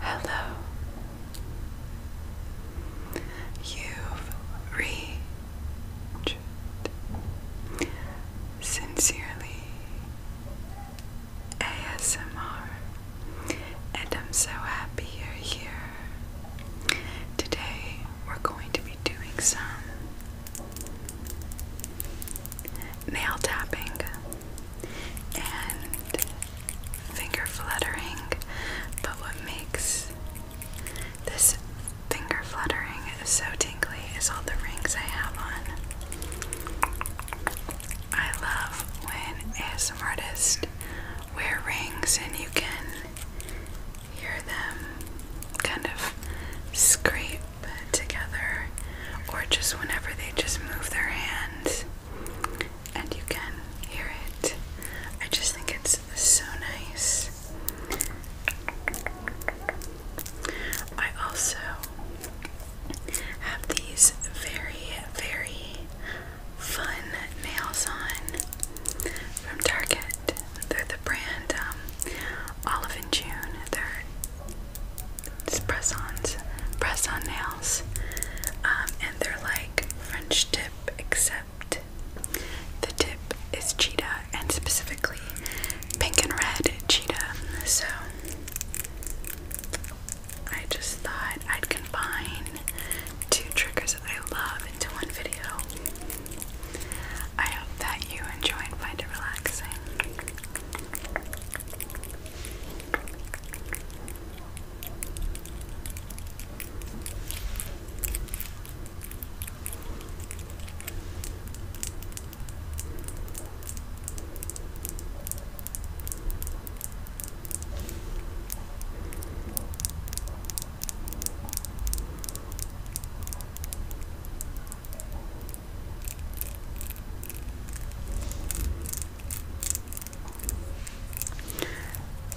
Hello. you reached Sincerely ASMR, and I'm so happy you're here. Today we're going to be doing some nail tapping, and finger fluttering. But what makes this finger fluttering so tingly is all the rings I have on. I love when ASM artists wear rings and you can hear them kind of scrape bed together, or just whenever they just move their hands and you can hear it. I just think it's so nice. I also have these very, very fun nails on from Target. They're the brand um, Olive and June. They're press-ons, press-on nails, um, and they're like French tip except the tip is cheetah and specifically pink and red cheetah. So I just thought I'd combine two triggers that I love into one video. I hope that you enjoy and find it relaxing.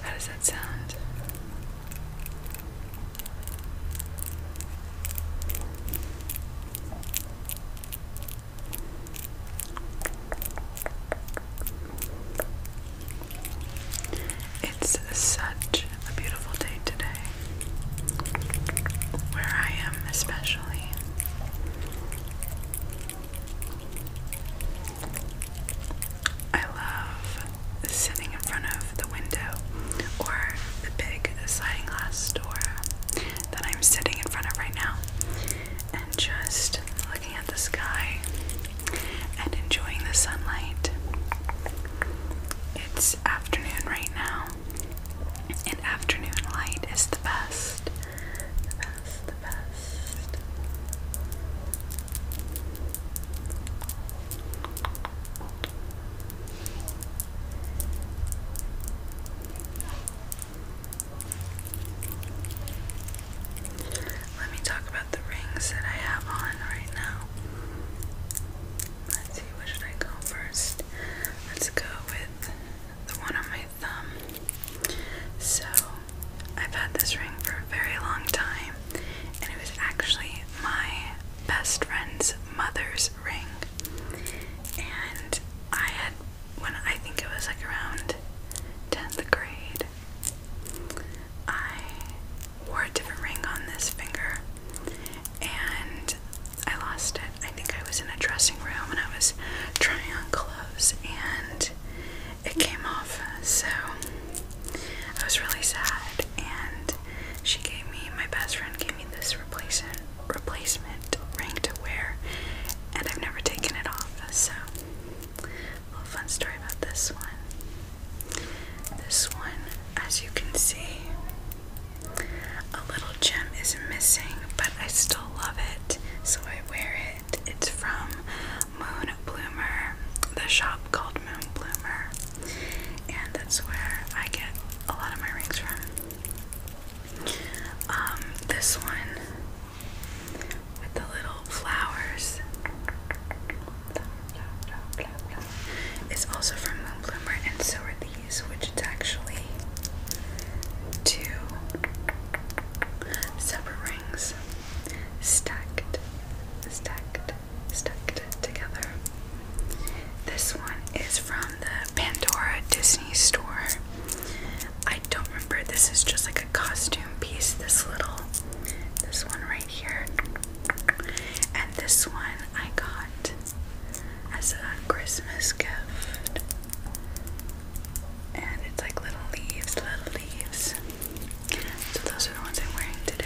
How does that sound? It's such a beautiful day today where I am, especially. I love sitting in front of the window or the big sliding glass door that I'm sitting in front of right now and just looking at the sky and enjoying the sunlight. It's afternoon right now, and afternoon light is the best. The best, the best. Let me talk about the rings that I have on right now. Let's see, where should I go first? Let's go with the one on my thumb. So, I've had this ring for a very long time, and it was actually my best friend's mother's ring. And I had, when I think it was like around 10th grade, I wore a different ring on this finger and I lost it. I think I was in a dressing room and I was trying on clothes and it came off. So I was really sad and she gave me my best friend gave me this replacement replacement ring to wear and I've never taken it off. So a little fun story about this one. This one, as you can see, a little gem is missing, but I still love it, so I wear it. It's from Moon Bloomer, the shop called Moon Bloomer, and that's where I get a lot of my rings from. Um, this one with the little flowers. It's also from Moonbloomer, and so are these, which is actually two separate rings stacked, stacked, stacked together. This one is from the Pandora Disney store. I don't remember. This is just like a costume piece. This little, this one right here. And this one I got as a Christmas gift. And it's like little leaves, little leaves. So those are the ones I'm wearing today.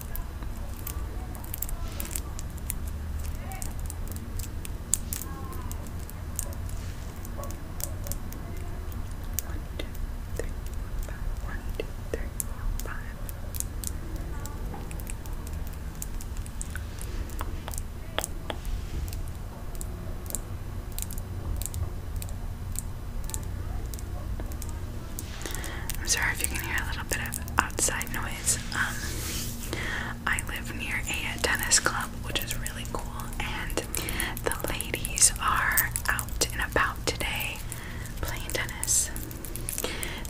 One, two, three, four, five. One, two, three, four, five. One, two, three, I'm sorry if you can hear a little bit of outside noise. Um, I live near a tennis club, which is really cool, and the ladies are out and about today playing tennis.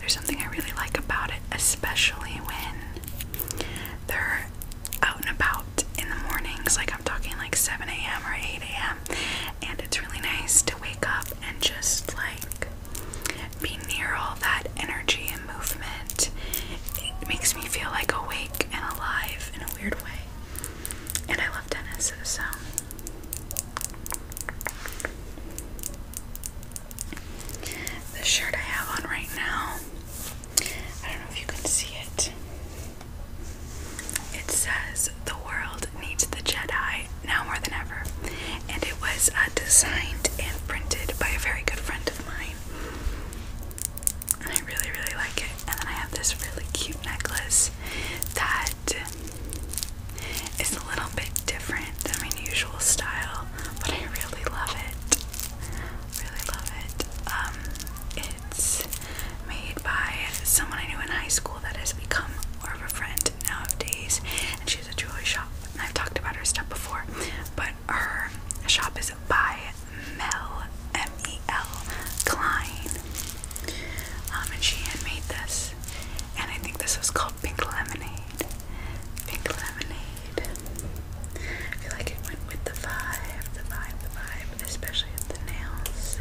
There's something I really like about it, especially when they're out and about in the mornings, like I'm talking like 7 a.m. or 8 a.m., and it's really nice to wake up and just like be near all that energy and movement. It makes me feel like awake and alive in a weird way. And I love tennis, so. The shirt I have on right now, I don't know if you can see it. It says, The world needs the Jedi now more than ever. And it was uh, designed and printed by a very good friend of mine. I really, really like it. And then I have this really cute necklace that is a little bit different than my usual style, but I really love it. Really love it. Um, it's made by someone I knew in high school that has become more of a friend nowadays, and she has a jewelry shop. And I've talked about her stuff before, but her shop is by Mel M E L Klein, um, and she handmade this. And I think this was called Pink Lemonade. Pink Lemonade. I feel like it went with the vibe, the vibe, the vibe, especially with the nails.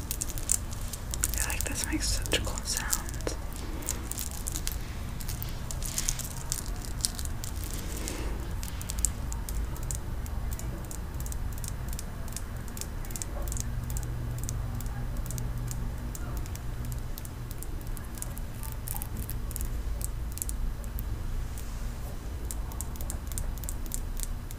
I feel like this makes such cool sounds.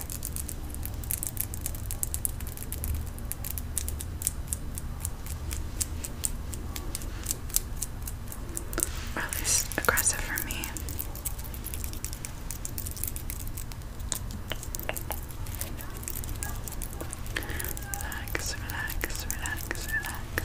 Or at aggressive for me. Relax, relax, relax, relax.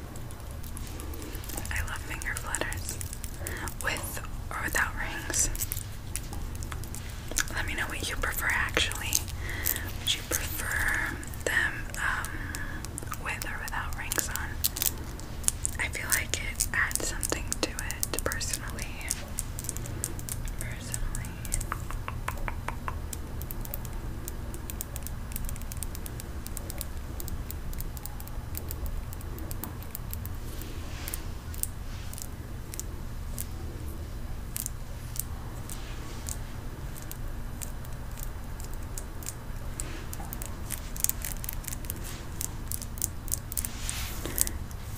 I love finger flutters with or without rings. Let me know what you prefer actually. Would you prefer them um, with or without rings on? I feel like it adds something to it personally. Personally.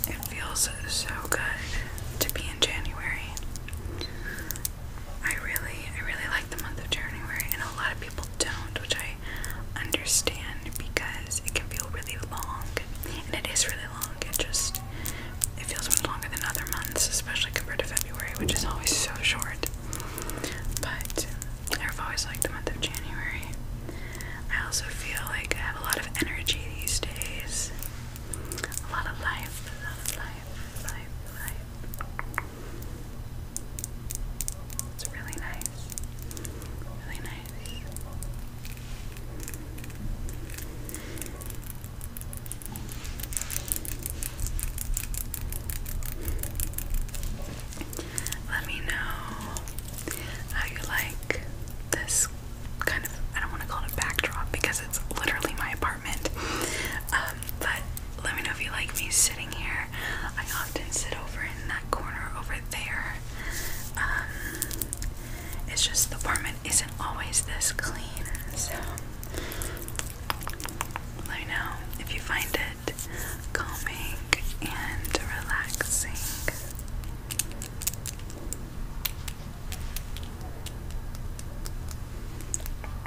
It feels so good to be in January. I really, I really like the month of January, and a lot of don't, which I understand because it can feel really long, and it is really long. It just it feels much longer than other months, especially compared to February, which is always so short. But I've always liked the month of January. I also feel like I have a lot of energy these days. A lot of life, life, life, life. It's really nice. Really nice. Let me know how you like this kind of I don't want to call it a backdrop because it's literally my apartment. Um, but let me know if you like me sitting here. I often sit over in that corner over there. Um, it's just the apartment isn't always this clean, so let know if you find it calming and relaxing.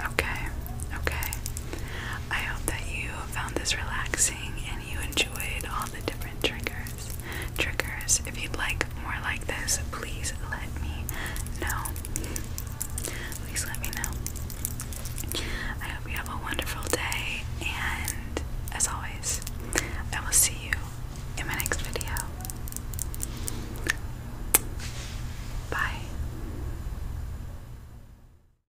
Okay, okay. I hope that you found this relaxing you enjoyed all the different triggers. Triggers. If you'd like more like this, please let me know. Please let me know. I hope you have a wonderful day, and as always, I will see you in my next video. Bye.